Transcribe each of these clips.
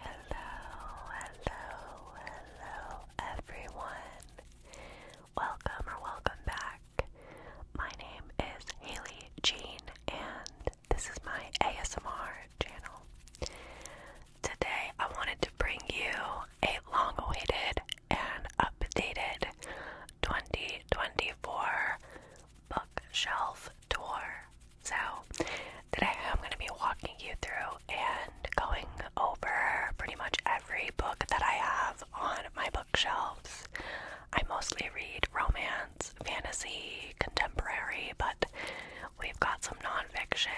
Hello, hello, hello, everyone. Welcome or welcome back. My name is Haley Jean, and this is my ASMR channel. Today, I wanted to bring you a long awaited and updated 2024 bookshelf tour. So today I'm going to be walking you through and going over pretty much every book that I have on my bookshelves. I mostly read romance, fantasy, contemporary, but we've got some nonfiction,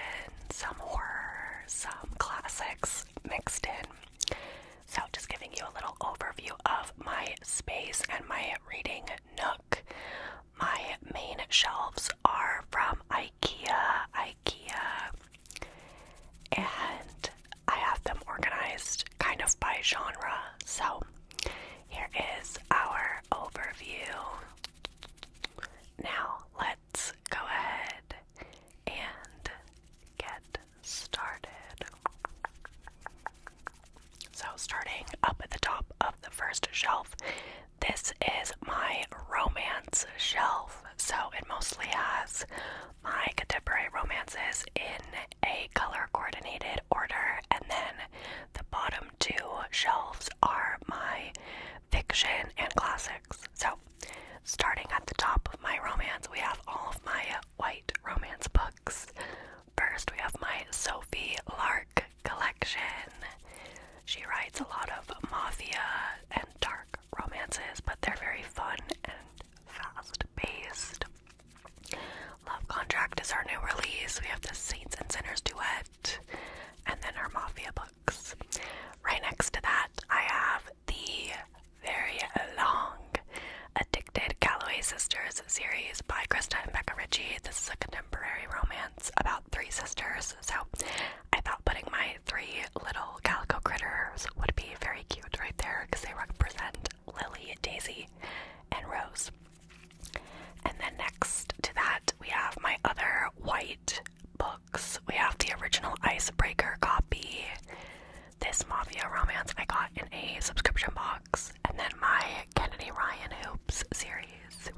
some horror, some classics mixed in. So, just giving you a little overview of my space and my reading nook my main shelves are from IKEA, IKEA, and I have them organized kind of by genre. So here is our overview. Now let's go ahead and get started. So, starting up at the top of the first shelf, this is my romance shelf, so it mostly has my contemporary romances in a color coordinated order, and then the bottom two shelves are my fiction and classics. So, starting at the top of my romance, we have all of my white romance books. First, we have my Sophie Lark collection. She writes a lot of mafia and dark romances, but they're very fun and fast paced. Love Contract is her new release. We have the Saints and Sinners duet, and then our mafia books. Right next to that, I have the very long Addicted Calloway Sisters series by Krista and Becca Ritchie. This is a contemporary romance about three sisters, so I thought putting my three little calico critters would be very cute right there because they represent Lily, Daisy, and Rose. And then next to that, we have my other white books. We have the original Icebreaker copy, this Mafia Romance I got in a subscription box, and then my Kennedy Ryan Hoops series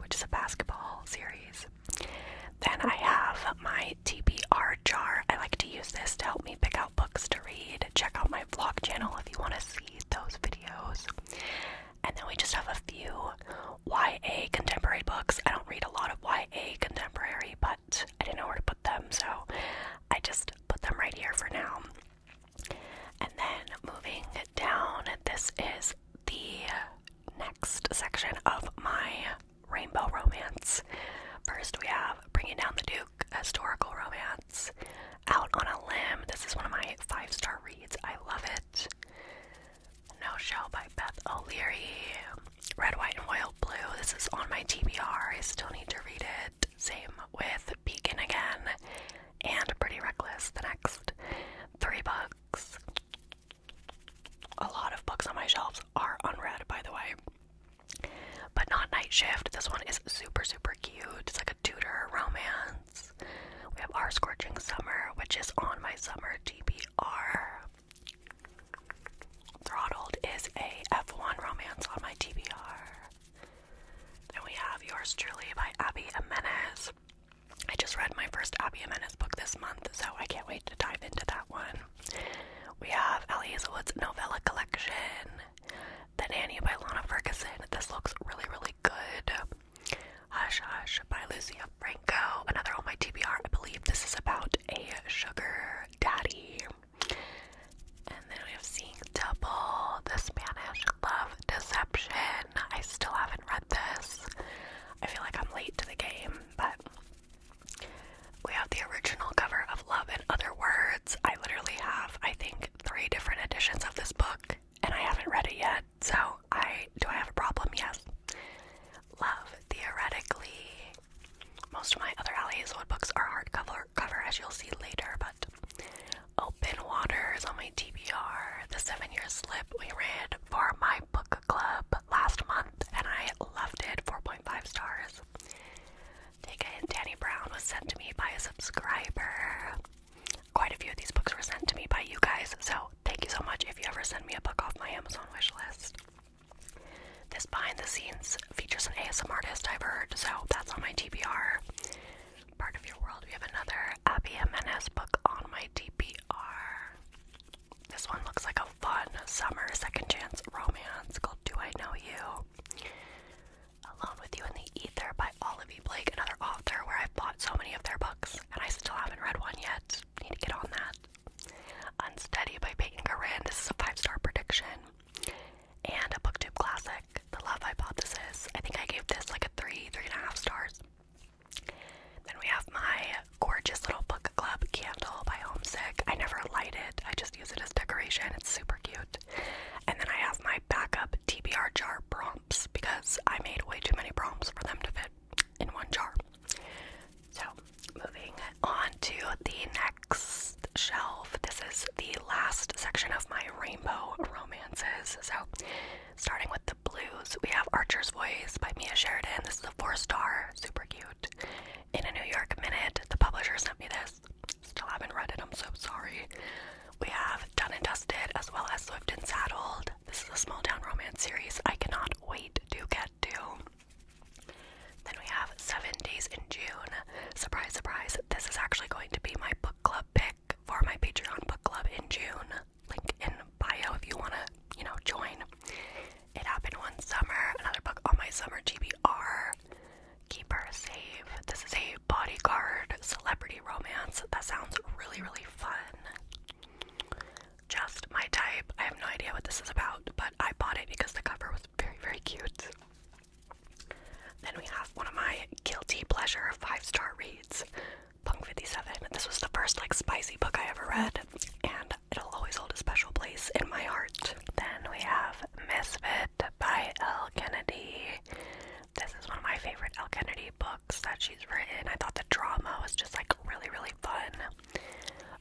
which is a basketball series. Then I have my TBR jar. I like to use this to help me pick out books to read. Check out my vlog channel if you want to see those videos. And then we just have a few YA contemporary books. I don't read a lot of YA contemporary, but I didn't know where to put them, so I just put them right here for now. And then moving it down. This is the next section of my rainbow romance. First, we have Bringing Down the Duke, historical romance. Out on a Limb. This is one of my five star reads. I love it. No Show by Beth O'Leary. Red, White, and Royal Blue. This is on my TBR. I still need to read it. Same with Beacon again and Pretty Reckless the next. Three books. A lot of books on my shelves are unread, by the way. But not Night Shift. This one is super, super cute. It's like a Tudor romance. We have Our Scorching Summer, which is on my summer TBR. Throttled is a F1 romance on my TBR. Then we have Yours Truly by Abby Amenes. I just read my first Abby Jimenez book this month, so I can't wait to dive into that one. We have Ellie Hazelwood's novella collection, The Nanny by Lana Ferguson. This looks really, really good. Hush Hush by Lucia Franco, another on my TBR. I believe this is about a sugar daddy. And then we have Seeing Double, The Spanish love Deception. I still haven't read this. I feel like I'm late to the game, but we have the original cover of Love in Other Words. I literally have, I think, three different editions of this book, and I haven't read it yet. So, I do I have a problem? Yes. Love theoretically. Most of my other Allie Hazelwood books are hardcover, cover as you'll see later, but Open Waters on my TBR. The Seven Year Slip we read for my book club last month, and I loved it. 4.5 stars. Take a Danny Brown was sent to me by a subscriber. Quite a few of these books were sent to me by you guys, so thank you so much if you ever send me a book off my Amazon wish list. This behind the scenes features an ASMR artist I've heard, so that's on my TBR part of your world. We have another Abby M N S book on my TBR. This one looks like a fun summer second chance romance called Do I Know You? Alone with You in the Ether by Olivia Blake, another author where I've bought so many of their books and I still haven't read one yet. Need to get on that. Unsteady by Peyton Corinne. This is a five star prediction. And a booktube classic, The Love Hypothesis. I think I gave this like a three, three and a half stars. Then we have my gorgeous little book club candle by Homesick. I never light it, I just use it as decoration. It's super cute. And then I have my backup TBR jar prompts because I made way too many prompts for them to fit in one jar. So, moving on to the next shelf. This is the last section of my rainbow romances. So, Starting with the blues, we have Archer's Voice by Mia Sheridan. This is a four star, super cute. In a New York Minute, the publisher sent me this. Still haven't read it, I'm so sorry. We have Done and Dusted as well as Swift and Saddled. This is a small town romance series I cannot wait to get to. Then we have Seven Days in June. Surprise, surprise, this is actually going to be my book club pick for my Patreon book club in June. Link in bio if you want to, you know, join. It happened one summer. Another book on my summer TBR. Keep her safe. This is a bodyguard celebrity romance. That sounds really, really fun. Just my type. I have no idea what this is about, but I bought it because the cover was very, very cute. Then we have one of my guilty pleasure five star reads Punk 57. This was the first like spicy book I ever read, and it'll always hold a special place in my heart. Then we have Misfit by El Kennedy. This is one of my favorite El Kennedy books that she's written. I thought the drama was just like really, really fun.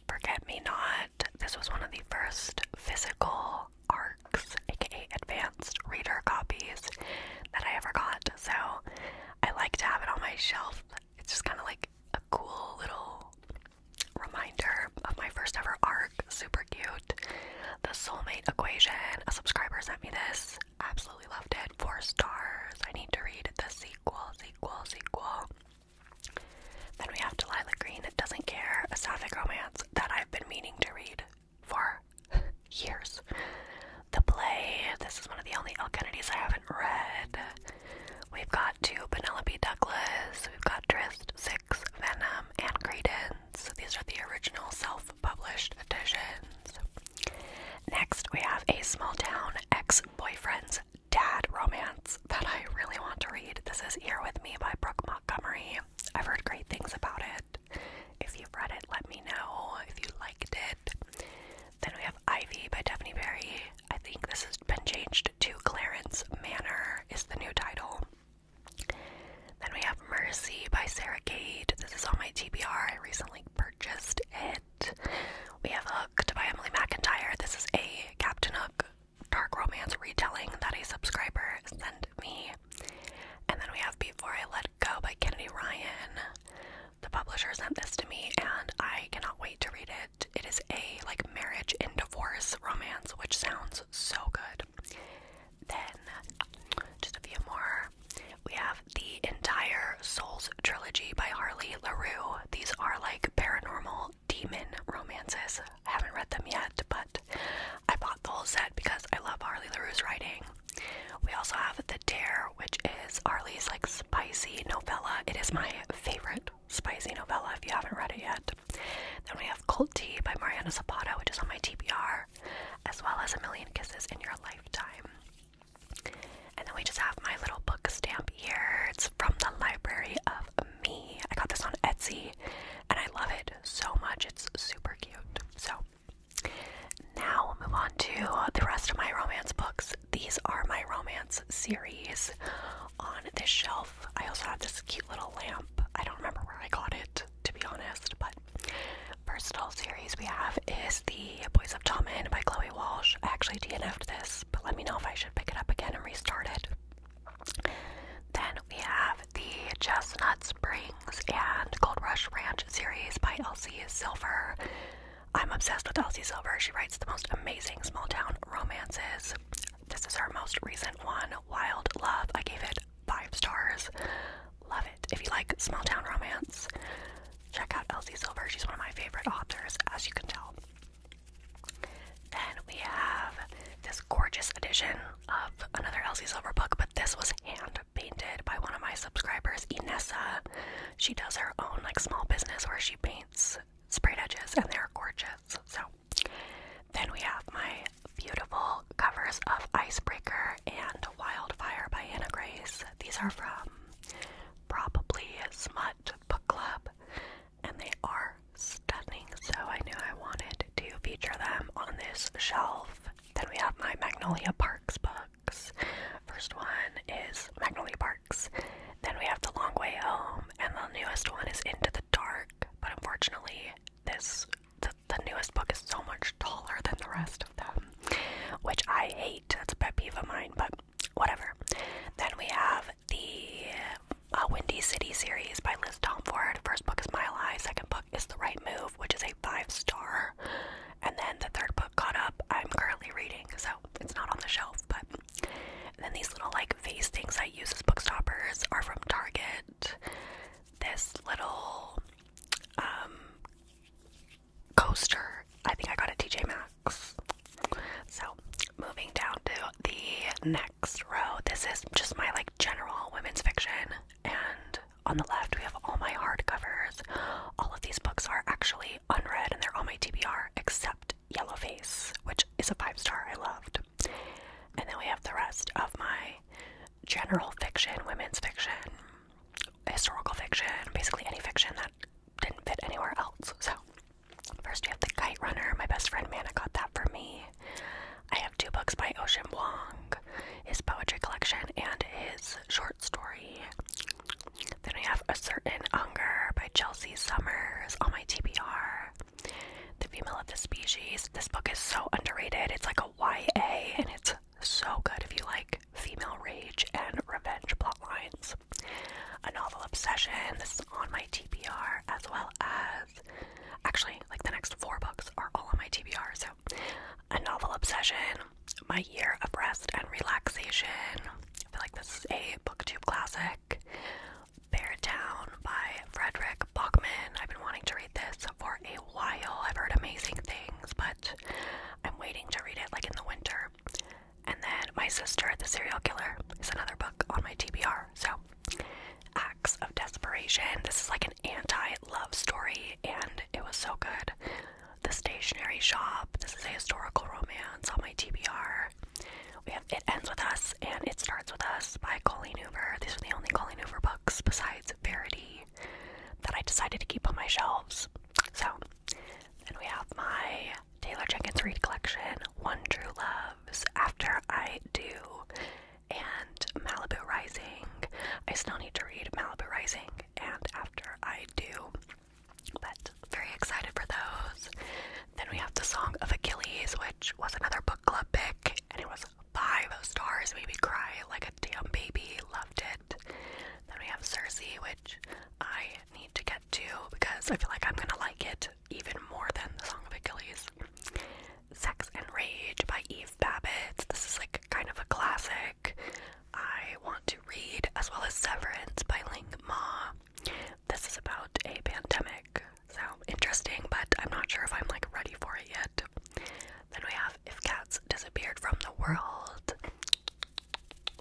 Forget Me Not. This was one of the first physical arcs, aka advanced reader copies, that I ever got so I like to have it on my shelf. It's just kind of like a cool little reminder of my first ever arc. Super cute. The soulmate equation. A subscriber sent me this. Absolutely loved it. Four stars. I need to read the sequel, sequel, sequel. Then we have Delilah Green, It Doesn't Care, a sapphic romance that I've been meaning to read for years. The play, this is one of the only L. Kennedys I haven't read. We've got two Penelope Douglas, we've got Trist, Six, Venom, and Credence. These are the original self published editions. Next, we have a small town ex boyfriend's dad romance that I really want to read. This is Here With Me by Brooke Montgomery. I've heard great things about it. If you've read it, let me know if you liked it. Then we have Ivy by Daphne Berry. I think this has been changed to Clarence Manor, is the new title. Then we have Mercy by Sarah Gade. This is on my TBR. I recently purchased it. We have Hooked by Emily McIntyre. This is a Captain Hook dark romance retelling that a subscriber sent me. And then we have Before I Let Go by Kennedy Ryan. The publisher sent this to me and I cannot wait to read it. It is a like marriage and divorce romance, which sounds so good. Then just a few more. We have the entire Souls trilogy by Harley LaRue. These are like paranormal demon romances. I haven't read them yet, but I bought the whole set because I love Harley LaRue's writing. We also have The Dare, which is Arlie's like spicy novella. It is my favorite spicy novella if you haven't read it yet. Then we have Cold Tea by Mariana Zapata, which is on my TBR, as well as A Million Kisses in Your Lifetime. And then we just have my little book stamp here. It's from the Library of Me. I got this on Etsy and I love it so much. It's super cute. So now we'll move on to the rest of my romance books. These are my romance series on this shelf. I also have this cute little lamp. I don't remember where I got it, to be honest, but first all series we have is The Boys of Tommen by Chloe Walsh. I actually DNF'd this, but let me know if I should pick it up again and restart it. Then we have the Chestnut Spring and Gold Rush Ranch series by Elsie Silver. I'm obsessed with Elsie Silver. She writes the most amazing small town romances. This is her most recent one, Wild Love. I gave it five stars. Love it. If you like small town romance, check out Elsie Silver. She's one of my favorite authors, as you can tell. Then we have this gorgeous edition of another Elsie Silver book, but this was hand painted by one of my subscribers, Inessa. She does her own like small business where she paints spray edges and they're gorgeous. So then we have my beautiful covers of Icebreaker and Wildfire by Anna Grace. These are from probably a Smut Book Club and they are stunning. So I knew I wanted to feature them on this shelf. Then we have my Magnolia Parks books. First one is Magnolia Parks. Then we have The Long Way Home, and the newest one is Into the Dark. But unfortunately, this the, newest book is so much taller than the rest of them, which I hate. That's a pet peeve of mine, but whatever. Then we have the uh, Windy City series by Liz Tomford. First book is My Eyes. Second book it's The Right Move, which is a five star. And then the third book caught up, I'm currently reading, so it's not on the shelf. But then these little like face things I use as bookstoppers are from Target. This little um, coaster, I think I got at TJ Maxx. So moving down to the next row, this is just my like general women's fiction and on the left, we have all my hardcovers. All of these books are actually unread and they're all my TBR, except Yellowface, which is a five star I loved. And then we have the rest of my general fiction, women's fiction, historical fiction, basically any fiction that didn't fit anywhere else. So, first we have The Kite Runner. My best friend Mana got that for me. I have two books by Ocean Wong, his poetry collection and his short story. Then I have A Certain Hunger by Chelsea Summers on my TBR. The Female of the Species. This book is so underrated. It's like a YA and it's so good if you like female rage and revenge plotlines. A novel obsession. This is on my TBR as well as actually like the next four books are all on my TBR, so a novel obsession, my year of rest and relaxation. I feel like this is a booktube classic. Bear Town by Frederick Bachman. I've been wanting to read this for a while. I've heard amazing things, but I'm waiting to read it like in the winter. And then My Sister, the Serial Killer, is another book on my TBR. So, Acts of Desperation. This is like an anti-love story and it was so good. The Stationery Shop, this is a historical romance on my TBR. We have It Ends With Us and It Starts With Us by Colleen Hoover. These are the only Colleen Hoover books besides Verity that I decided to keep on my shelves. So, then we have my Taylor Jenkins Reid collection, One True Loves, after I do and Malibu Rising. I still need to read Malibu Rising, and after I do, but very excited for those. Then we have The Song of Achilles, which was another book club pick, and it was five stars, made me cry like a damn baby, loved it. Then we have Circe, which I need to get to because I feel like I'm gonna like it even more than The Song of Achilles. Sex and Rage by Eve Babbitt. This is like kind of a classic. I want to read, as well as Severance by Ling Ma. This is about a pandemic, so interesting, but I'm not sure if I'm like ready for it yet. Then we have If Cats Disappeared from the World.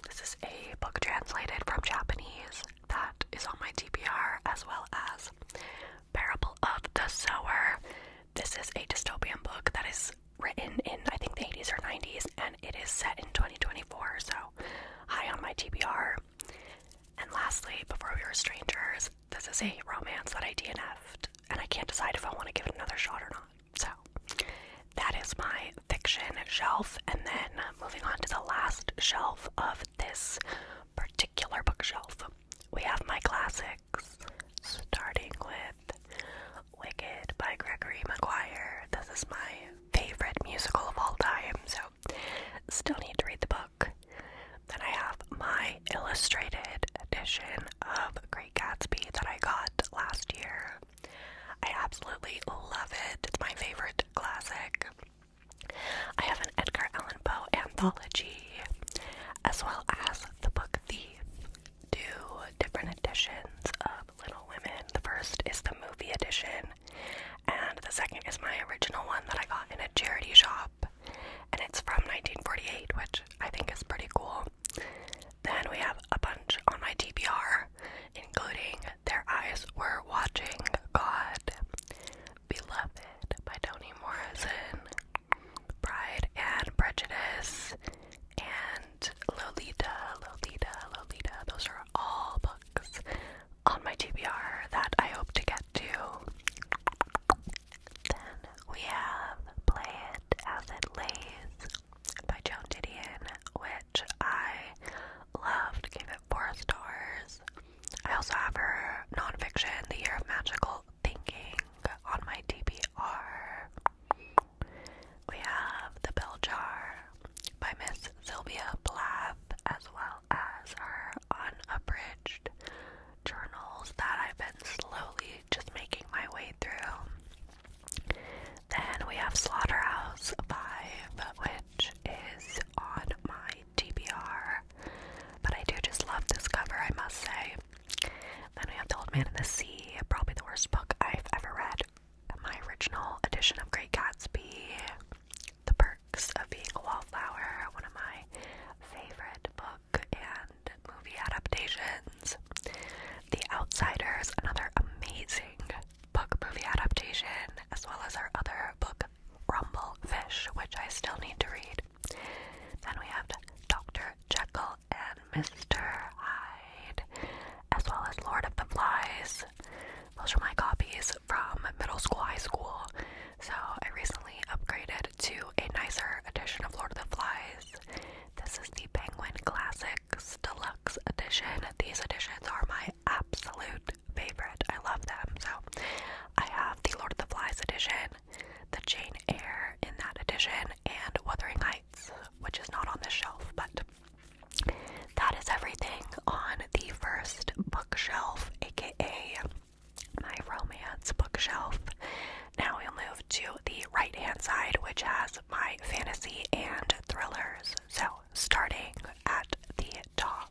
This is a book translated from Japanese that is on my TBR, as well as Parable of the Sower. This is a dystopian book that is written in, I think, the 80s or 90s, and it is set in 2024, so high on my TBR. And lastly, Before We Were Strangers, this is a romance that I DNF'd, and I can't decide if I want to give it another shot or not. So, that is my fiction shelf, and then moving on to the last shelf of this particular bookshelf, we have my classic starting with Wicked by Gregory Maguire. This is my favorite musical of all time, so still need to read the book. Then I have my illustrated edition of Great Gatsby that I got last year. I absolutely love it. It's my favorite classic. I have an Edgar Allan Poe anthology as well as the book Thief. Two different editions of Little Women. The first is the movie edition, and the second is my original one that I got in a charity shop, and it's from 1948, which I think is pretty cool. Then we have a bunch on my TBR, including Their Eyes Were Watching God, Beloved by Toni Morrison, Pride and Prejudice and Lolita, Lolita, Lolita. Those are all books on my TBR that I hope to get to. Then we have Play It As It Lays by Joan Didion, which I loved, gave it four stars. I also have her nonfiction, The Year of Magical Thinking, on my TBR. We have The Bell Jar by Miss Sylvia Plath, as well as our unabridged journals that I've been slowly just making my way through. Then we have Slaughterhouse 5, which is on my TBR. But I do just love this cover, I must say. Then we have The Old Man and the Sea, probably the worst book I've ever read. My original edition of Great Gatsby, The Perks of Being a Wallflower, one of my favorite book and movie adaptations. The Outsiders, another amazing book movie adaptation, as well as our other book, Rumble Fish, which I still need to read. Then we have Dr. Jekyll and Mr. Hyde, as well as Lord of the Flies. Those are my copies from middle school, high school. So I recently upgraded to a nicer edition of Lord of the Flies. This is the Penguin Classics Deluxe Edition. These editions are my absolute favorite. I love them. So I have the Lord of the Flies edition, the Jane Eyre in that edition, and Wuthering Heights, which is not on the shelf, but that is everything on the first bookshelf, aka my romance bookshelf. Now we'll move to the right hand side, which has my fantasy and thrillers. So, starting at the top,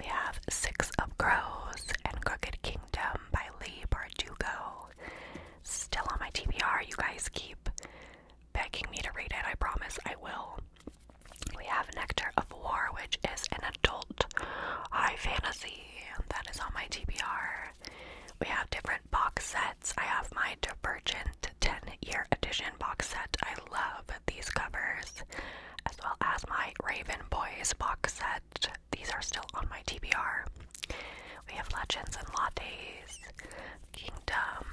we have Six of Crows and Crooked King. Kingdom by Lee Bardugo. Still on my TBR. You guys keep begging me to read it. I promise I will. We have Nectar of War, which is an adult high fantasy. and That is on my TBR. We have different box sets. I have my Divergent 10 year edition box set. I love these covers, as well as my Raven Boys box set. These are still on my TBR. We have Legends and Lattes, Kingdom,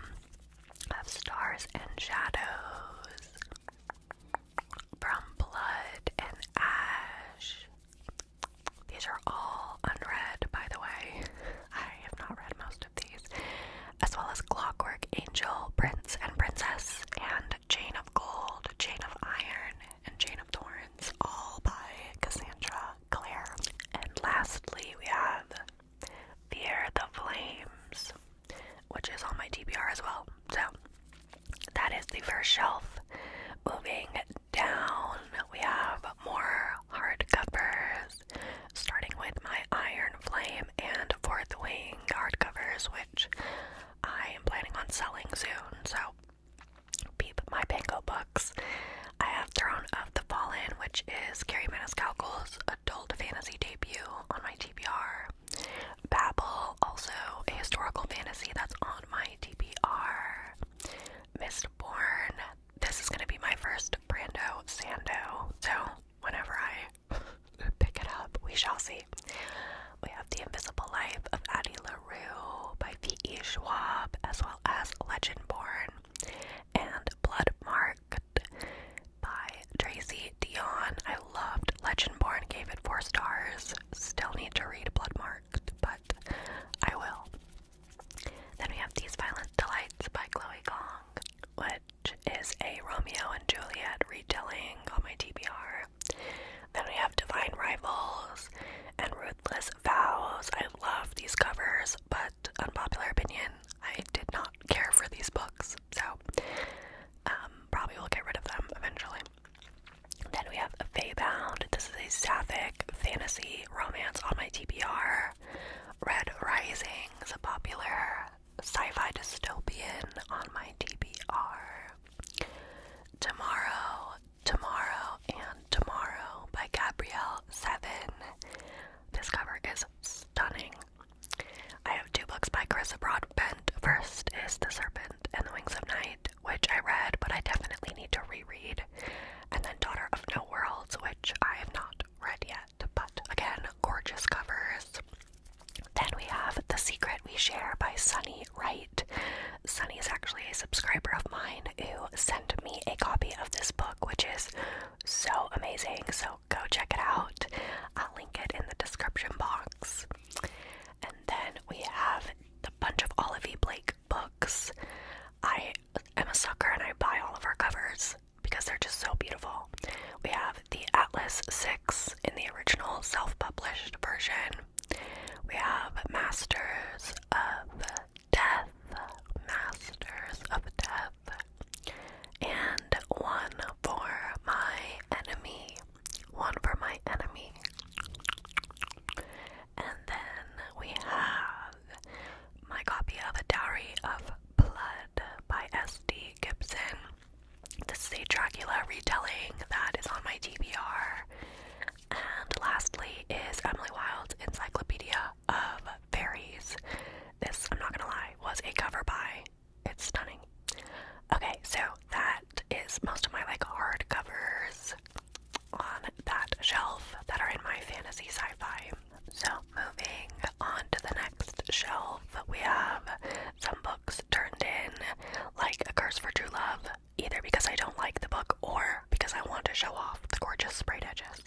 of Stars and Shadows, From Blood and Ash. These are all unread, by the way. I have not read most of these. As well as Clockwork Angel, Prince and Princess, and Chain of Gold, Chain of Iron, and Chain of Thorns, all by Cassandra Clare. And lastly, we have Fear the Flames, which is on my TBR as well. So that is the first shelf. Moving down, we have more hardcovers, starting with my Iron Flame and Fourth Wing hardcovers, which I am planning on selling soon. So Peep My Panko books. I have Throne of the Fallen, which is Carrie Maniscalco's adult fantasy debut on my TBR. Babel, also a historical fantasy that's on my TBR. Mistborn. This is going to be my first Brando Sando, so whenever I pick it up, we shall see. We have The Invisible Life of Addie LaRue by V.E. Schwab, as well as Legend Born, and Bloodmarked by Tracy Dion. I loved Legend Born, gave it four stars. Still need to read Bloodmarked, but I will. Then we have These Violent Delights by Chloe Gong, which is a Romeo and Juliet retelling on my TBR. Then we have Divine Rivals and Ruthless Vows. I love these covers, but unpopular opinion, I did not care for these books, so um, probably will get rid of them eventually. Then we have a Feybound. This is a sapphic fantasy romance on my TBR. Red Rising is a popular sci-fi dystopian on my TBR. Tomorrow, Tomorrow, and Tomorrow by Gabrielle Seven. This cover is stunning. I have two books by Carissa Broadbent. First is The Serpent and the Wings of Night, which I read, but I definitely need to reread. And then Daughter of No Worlds, which I have not read yet. But again, gorgeous covers. Then we have The Secret We Share by Sunny Wright. Sunny is actually a subscriber of mine who sent me a copy of this book, which is so amazing. So go check it out. I'll link it in the description box. And then we have a bunch of Olivia Blake books. I am a sucker and I buy all of her covers because they're just so beautiful. We have the Atlas 6 in the original self published version. We have Masters of Death, Masters of Death, and one for my enemy, one for my enemy. And then we have my copy of A Diary of Blood by S.D. Gibson. This is a Dracula retelling that is on my TBR. And lastly is Emily Wild's Encyclopedia of Fairies. This, I'm not gonna lie, was a cover by. It's stunning. Okay, so that is most of my like hard covers on that shelf that are in my fantasy sci-fi. So moving on to the next shelf, we have some books turned in, like A Curse for True Love, either because I don't like the book or because I want to show off the gorgeous sprayed edges.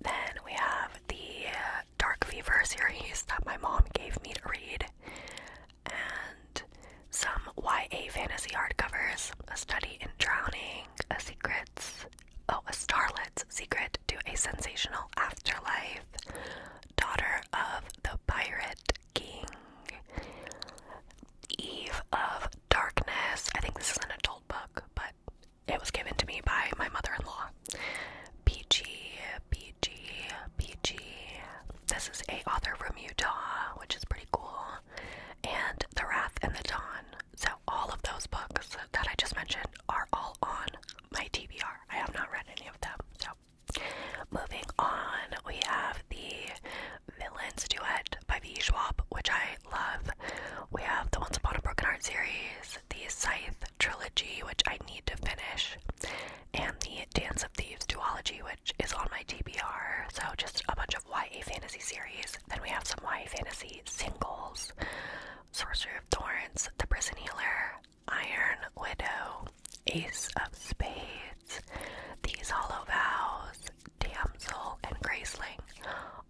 Then we have the Dark Fever series that my mom gave me to read, and some YA fantasy hardcovers A Study in Drowning, A Secrets, oh, A Starlet's Secret to a Sensational Afterlife, Daughter of the Pirate, King, Eve of Darkness. I think this is an adult book, but it was given to me by my mother in law. PG, PG, PG. This is a author from Utah, which is pretty cool. And The Wrath and the Dawn. So all of those books that I just mentioned are all on my TBR. I have not read any of them, so Moving on, we have the Villains Duet by V. Schwab, which I love. We have the Once Upon a Broken Heart series, the Scythe trilogy, which I need to finish, and the Dance of Thieves duology, which is on my TBR. So, just a bunch of YA fantasy series. Then we have some YA fantasy singles Sorcerer of Thorns, The Prison Healer, Iron Widow, Ace of Spades, These Hollow Vows, Damsel, and Graceling.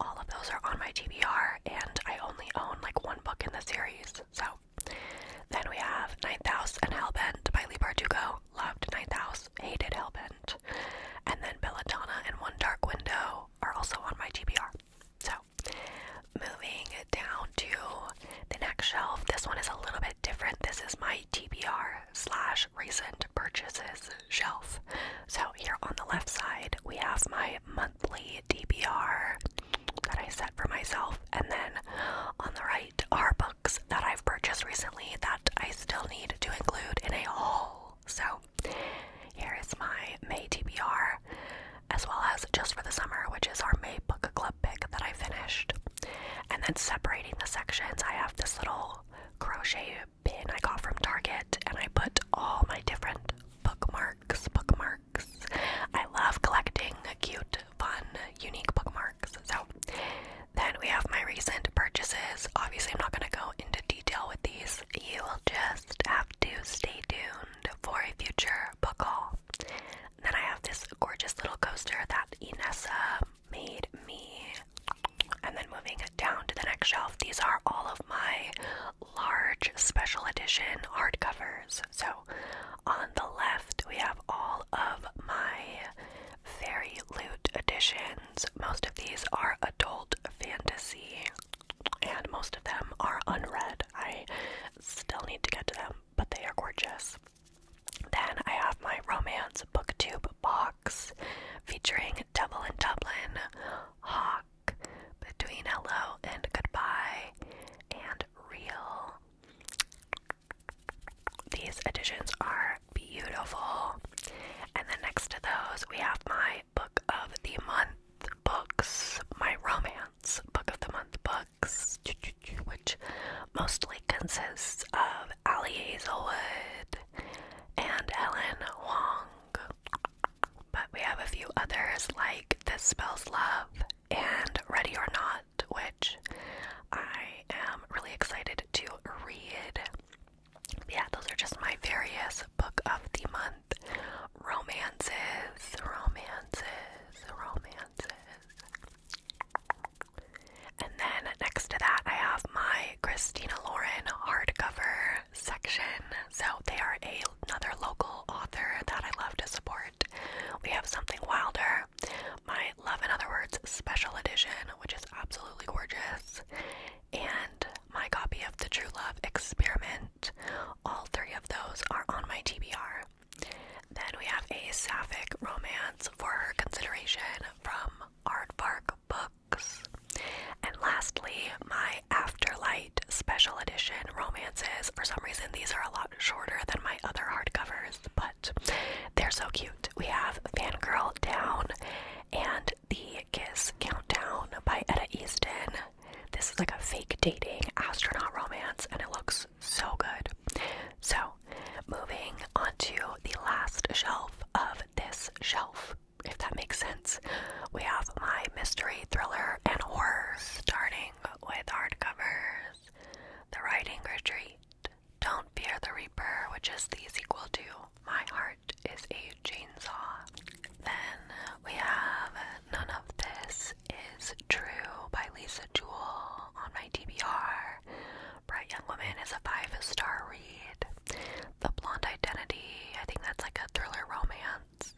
All of those are on my TBR, and I only own like one book in the series. So then we have Ninth House and Hellbent by Lee Bardugo. Loved Ninth House, hated Hellbent. And then Belladonna and One Dark Window are also on my TBR. So moving down to the next shelf, this one is a little bit different. This is my TBR slash recent purchases shelf. So here on the left side, we have my monthly DBR that I set for myself, and then on the right are books that I've purchased recently that I still need to include in a haul. So here is my May TBR, as well as just for the summer, which is our May book book club pick that I finished. And then separating the sections, I have this little crochet pin I got from Target and I put all my different bookmarks, bookmarks. I love collecting cute, fun, unique bookmarks. So then we have my recent purchases. Obviously, I'm not going to go into detail with these. You will just have to stay tuned for a future book haul then I have this gorgeous little coaster that Inessa made me. And then moving down to the next shelf, these are all of my large special edition hardcovers. So on the left, we have all of my fairy Lute editions. Most of these are adult fantasy, and most of them are unread. I still need to get to them, but they are gorgeous. Then I have my romance booktube box featuring Devil in Dublin, Hawk, Between Hello and Goodbye, and Real. These editions are beautiful. And then next to those, we have my book of the month books, my romance book of the month book which mostly consists of Ali Hazelwood and Ellen Wong. But we have a few others like This Spells Love and Ready or Not, which I am really excited to read. Yeah, those are just my various book of the month romances, romances, romances. And then next to that, I have my Christina Lauren hardcover section. So they are another local author that I love to support. We have Something Wilder, my Love in Other Words special edition, which is absolutely gorgeous, and my copy of The True Love Experiment. All three of those are on my TBR. Then we have a sapphic romance for her consideration from Aardvark Books. And lastly, my Afterlight Special Edition romances. For some reason, these are a lot shorter than my other hardcovers, but they're so cute. We have Fangirl Down and The Kiss Countdown by Etta Easton. This is like a fake dating astronaut romance, and it looks so good. So, moving on to the last shelf of this shelf, if that makes sense, we have my mystery, thriller, and horror, starting with hardcovers. The Writing Retreat, Don't Fear the Reaper, which is the sequel to My Heart is a Chainsaw. Then we have None of This is True by Lisa Jewell on my TBR. Bright Young Woman is a five star read. The Blonde Identity, I think that's like a thriller romance.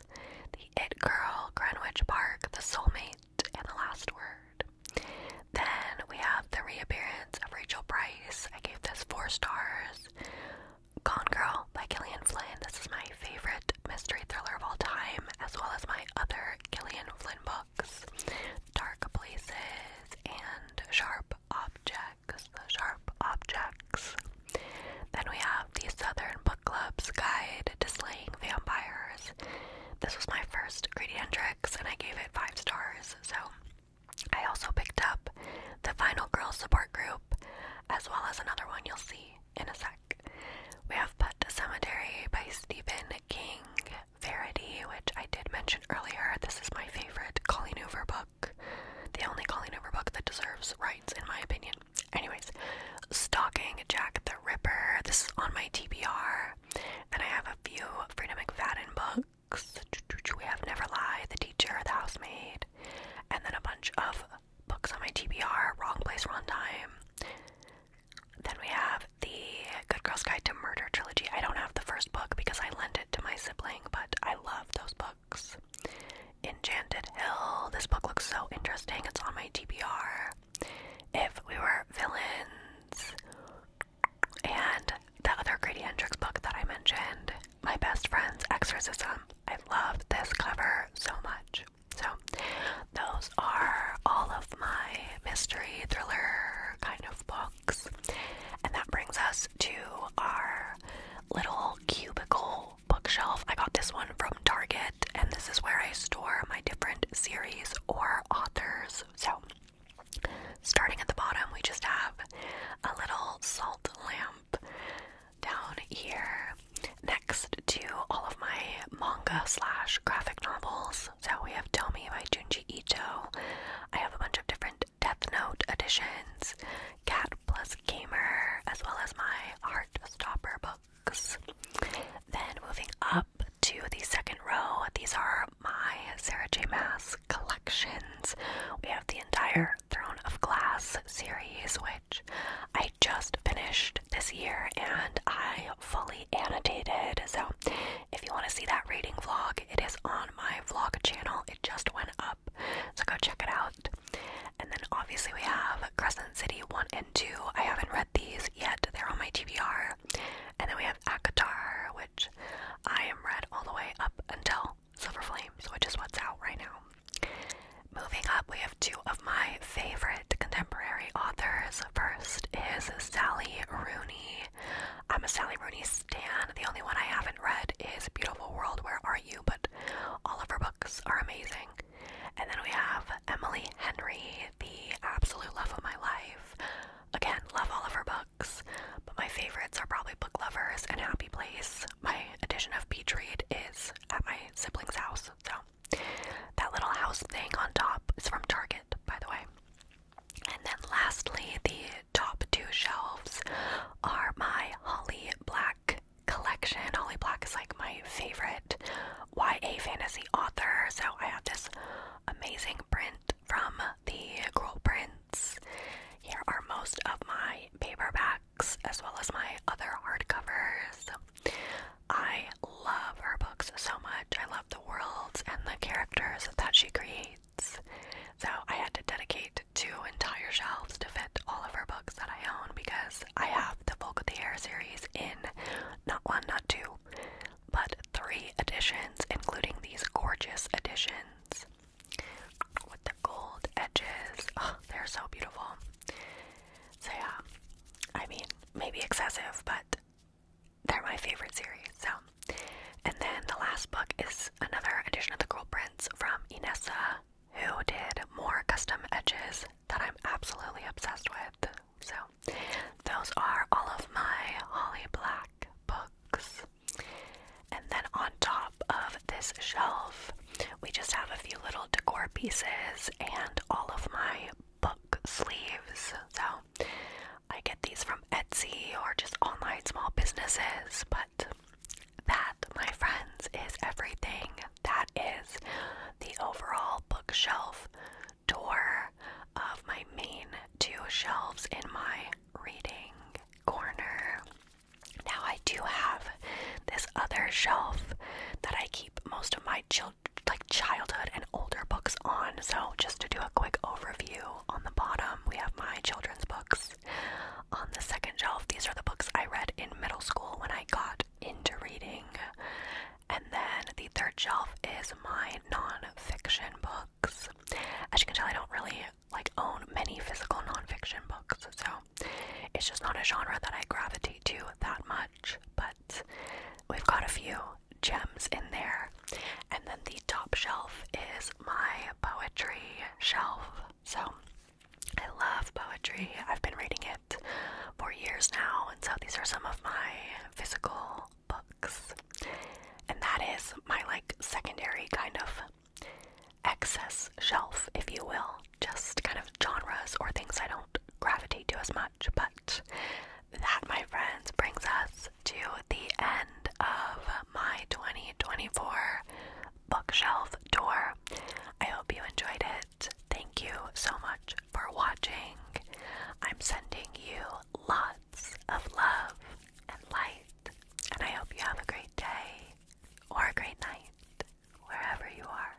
The It Girl, Greenwich Park, The Soulmate, and The Last Word. Then we have the reappearance of Rachel Price. I gave this four stars. Gone Girl by Gillian Flynn. This is my favorite mystery thriller of all time, as well as my other Gillian Flynn book dark places, and sharp objects. The sharp objects. Then we have the Southern Book Club's Guide to Slaying Vampires. This was my first Greedy and Tricks, and I gave it five stars. So I also picked up the Final Girl Support Group, as well as another one you'll see in a sec. We have Pet Cemetery by Stephen King. Verity, which I did mention earlier. This is my favorite Colleen Hoover book. The only Colleen Hoover book that deserves rights, in my opinion. Anyways, Stalking Jack the Ripper. This is on my TBR. And I have a few Freda McFadden books. We have Never Lie, The Teacher, The Housemaid. And then a bunch of books on my TBR Wrong Place, Wrong Time. Then we have the Good Girl's Guide to Murder trilogy. I don't have the first book because I lent it to my sibling, but I love those books. Enchanted Hill. This book looks so interesting. It's on my TBR. If We Were Villains. And the other Grady Hendrix book that I mentioned, My Best Friend's Exorcism. I love this cover so much. So, those are all of my mystery thriller kind of books. And that brings us to our little cubicle bookshelf. I got this one from Target, and this is where I store my different series or authors. So, starting at the bottom, we just have a little salt lamp down here. Now, next to all of my manga slash graphic novels. So we have Tell by Junji Ito. I have a bunch of different Death Note editions, Cat Plus Gamer, as well as my Heartstopper books. Then moving up to the second row, these are my Sarah J. Mass collections. We have the entire Throne of Glass series, which I just finished this year and I fully annotated. So if you want to see that reading vlog, it is on my vlog channel. It just went up. So go check it out. And then obviously we have Crescent City 1 and 2. I haven't read these yet. They're on my TBR. And then we have Akatar, which I am read all the way up until Silver Flames, which is what's out right now. Moving up, we have two of my favorite contemporary authors. First is Sally Rooney. I'm a Sally Rooney stan. The only one I haven't read is Beautiful World, Where Are You? But all of her books are amazing. And then we have Emily Henry, the absolute love of my life. Again, love all of her books, but my favorites are probably Book Lovers and Happy Place. My edition of Petrie Read is at my sibling's house, so that little house thing on top is from Target, by the way. And then lastly, the top two shelves are my Holly Black collection. Holly Black is like my favorite YA fantasy author. So I have this amazing print from the Girl Prints. Here are most of my paperbacks as well as my other hardcovers. I love her books so much. I love the worlds and the characters that she creates. So I had to dedicate two entire shelves to fit all of her books that I own because I have the *Book of the Air series in not one, not two, but three editions, including these gorgeous editions with the gold edges. Oh, they're so beautiful. So yeah, I mean, maybe excessive, but they're my favorite series. So, and then the last book is another edition of The Girl Prince from Inessa, who did more custom edges that I'm absolutely obsessed with. So, those are all of my Holly Black books. And then on top of this shelf, we just have a few little decor pieces and all of my book sleeves. So I get these from Etsy or just online small businesses, but that, my friends, is everything. That is the overall bookshelf tour of my main two shelves in my reading corner. Now, I do have this other shelf that I keep most of my children like childhood and older books on. So, just to do a quick overview, on the bottom we have my children's books. On the second shelf, these are the books I read in middle school when I got into reading. And then the third shelf is my non-fiction books. As you can tell, I don't really like own many physical non-fiction books, so it's just not a genre that I gravitate to that much. But We've got a few gems in there. And then the top shelf is my poetry shelf. So I love poetry. I've been reading it for years now. And so these are some of my physical books. And that is my like secondary kind of excess shelf, if you will. Just kind of genres or things I don't don't gravitate to as much. But that, my friends, brings us to the end of my 2024 bookshelf tour. I hope you enjoyed it. Thank you so much for watching. I'm sending you lots of love and light, and I hope you have a great day or a great night wherever you are.